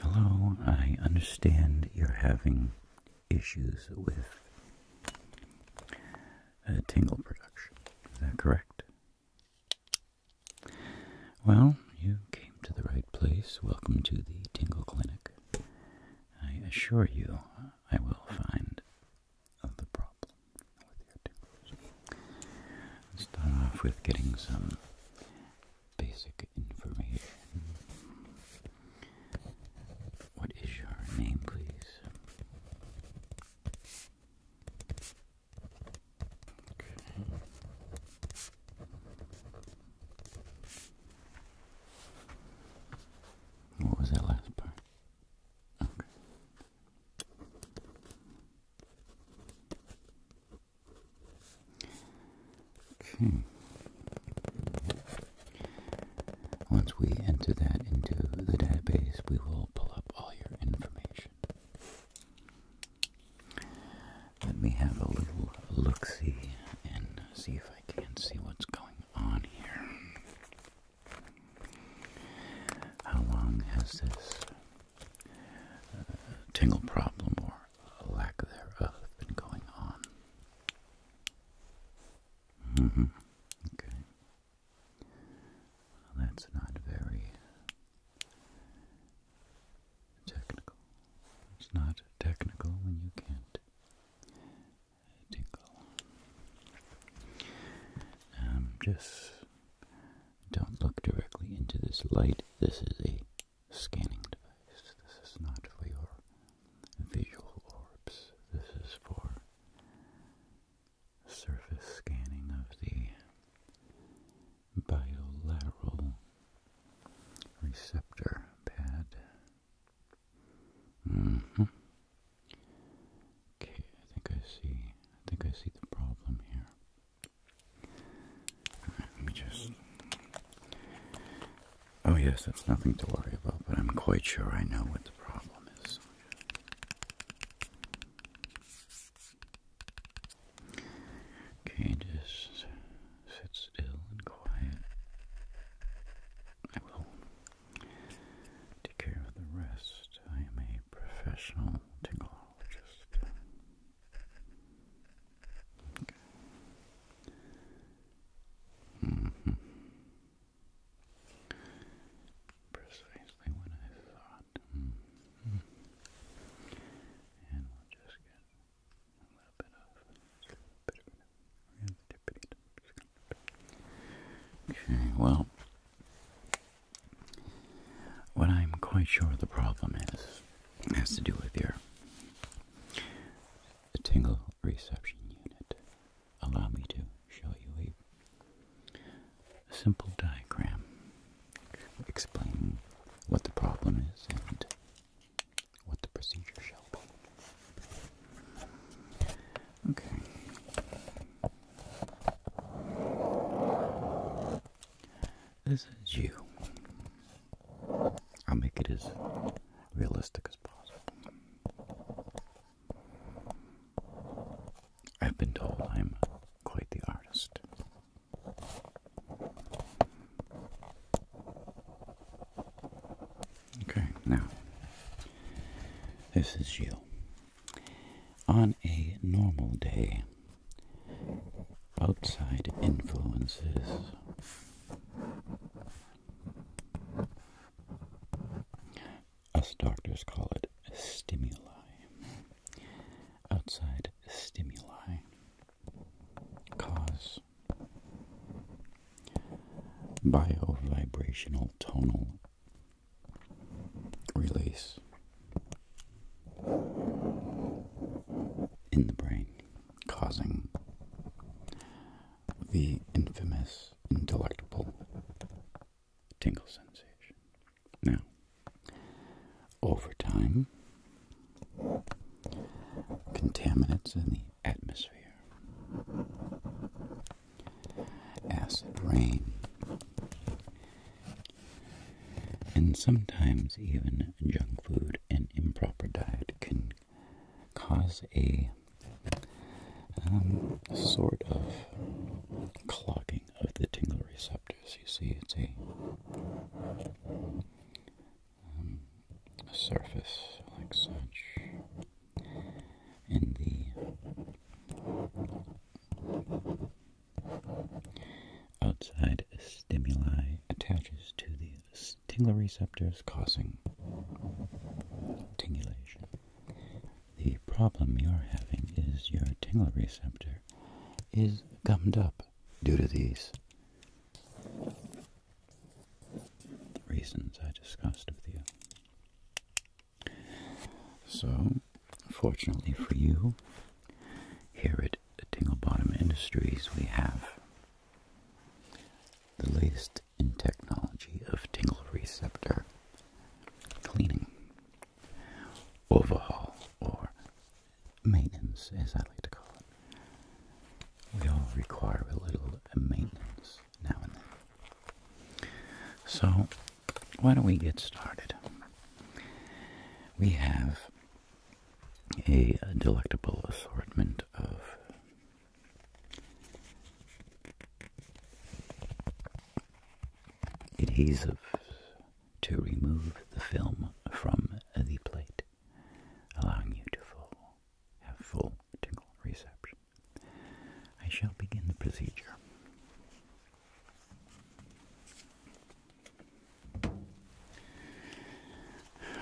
Hello, I understand you're having issues with uh, tingle production. Is that correct? Well, you came to the right place. Welcome to the Tingle Clinic. I assure you, I will find the problem with your tingles. Let's start off with getting some basic information. What is your name, please? Okay. What was that last part? Okay. Okay. Once we enter that into the database, we will pull up all your information. Let me have a little look see and see if I can see what's going on here. How long has this uh, tingle problem or a lack thereof been going on? Mm-hmm. Okay. that's not very technical. It's not technical when you can't tingle. Um, just don't look directly into this light. This is a scanning device. This is not for your visual orbs. This is for surface scanning of the bilateral receptor pad. Mm-hmm. Okay, I think I see. I think I see the problem here. Let me just. Oh, yes, that's nothing to worry about, but I'm quite sure I know what the problem is. Okay, just sit still and quiet. I will take care of the rest. I am a professional tingle Precisely when I thought. Mm-hmm. And we'll just get a little bit of a bit of Okay, well, what I'm quite sure the problem is has to do with your tingle reception unit. Allow me to show you a simple diagram explaining what the problem is and what the procedure shall be. Okay. This is you. I'll make it as realistic as possible. I've been told I'm quite the artist. Okay, now, this is you. On a normal day, outside influences us doctors call it stimuli. Outside stimuli cause bio bio-vibrational tonal release in the brain, causing the infamous, indelectable tingle sensation. Now, over time, contaminants in the atmosphere, acid rain, and sometimes even junk food and improper diet can cause a um, sort of clogging of the tingle receptors. You see, it's a um, a surface like such, and the Outside stimuli attaches to the receptors, causing tingulation. The problem you're having is your receptor is gummed up due to these reasons I discussed with you. So, fortunately for you, here at Tingle Bottom Industries, we have the latest in technology of tingle receptor cleaning, overhaul, or maintenance, as I like to call it. We all require a little maintenance now and then. So, why don't we get started? We have a delectable assortment of adhesive to remove the film from the plate, allowing you to full, have full tingle reception. I shall begin the procedure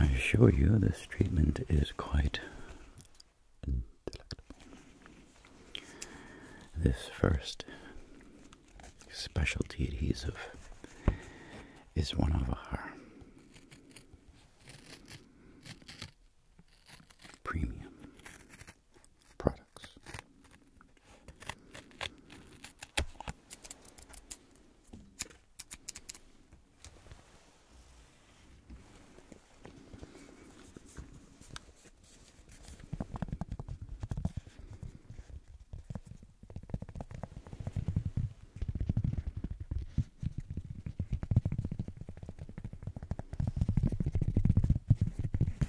I assure you, this treatment is quite This first specialty adhesive is one of our premium products.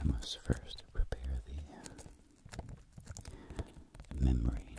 I must first prepare the memory.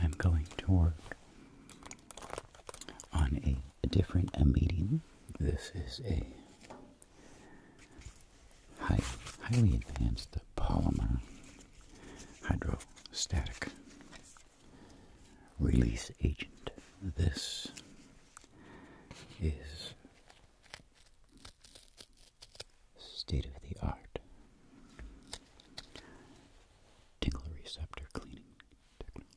I'm going to work on a, different medium. This is a highly advanced polymer hydrostatic release agent. This is state of the art tingle receptor cleaning technology.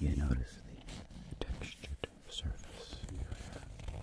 You notice the textured surface in your hair.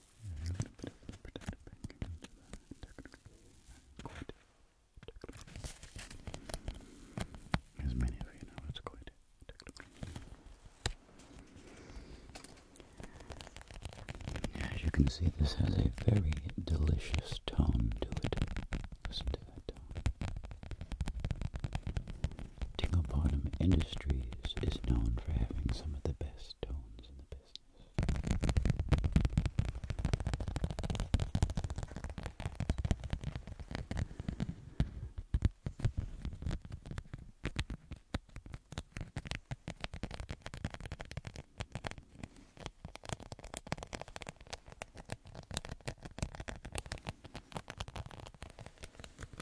As many of you know, it's quite As you can see, this has a very delicious tone to it. Listen to that tone. Tingle Bottom Industries is known for having some of the best tones problems in the business.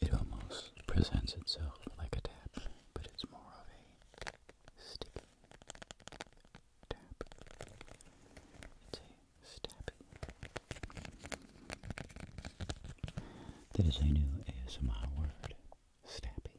It almost presents itself like a tap, but it's more of a sticky tap. It's That is a new ASMR word. Snappy.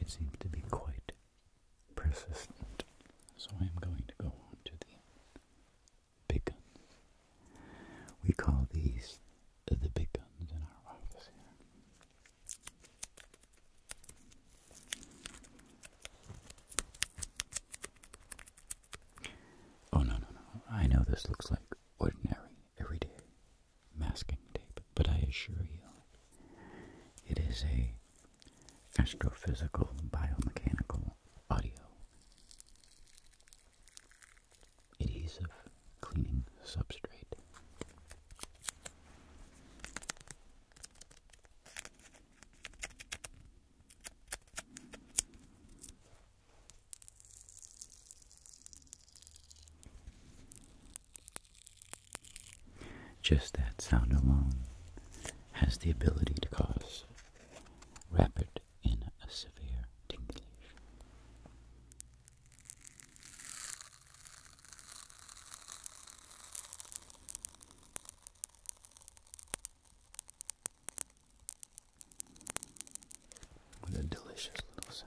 It seems to be quite persistent, so I am going to go on to the big guns. We call these the big guns in our office here. Oh, no, no, no. I know this looks like ordinary, everyday masking tape, but I assure you it is a astrophysical, biomechanical audio. Adhesive cleaning substrate. Just that sound alone has the ability to cause wrappered in a severe tingling, With a delicious little sound.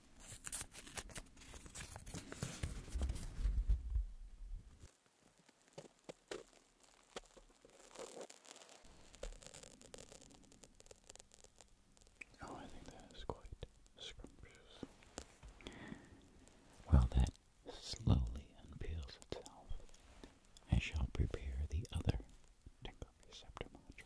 Oh, I think that is quite scrumptious. While that slowly unpeels itself, I shall prepare the other Tingle Receptor module.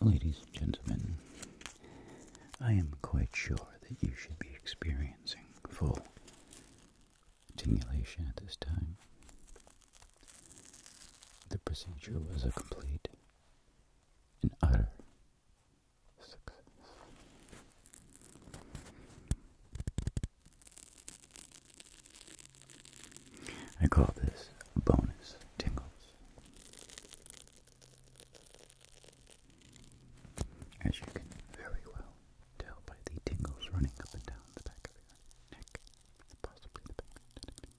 Ladies and gentlemen, I am quite sure that you should be experiencing full tingulation at this time. The procedure was a complete and utter I call this bonus tingles. As you can very well tell by the tingles running up and down the back of your neck, possibly the back.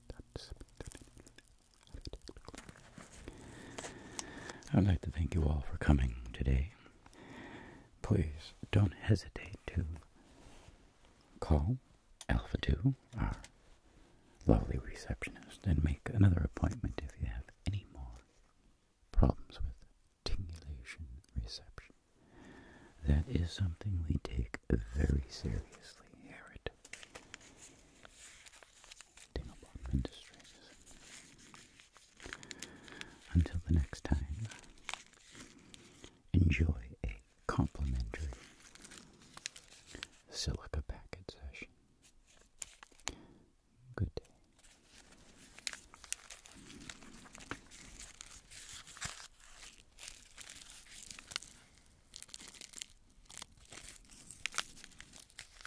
I'd like to thank you all for coming today. Please don't hesitate to call Alpha 2, our lovely receptionist, and make another appointment if you have any more problems with tingulation reception. That is something we take very seriously here Dinglebottom Industries. Until the next time, enjoy a complimentary silica packet session. Good day.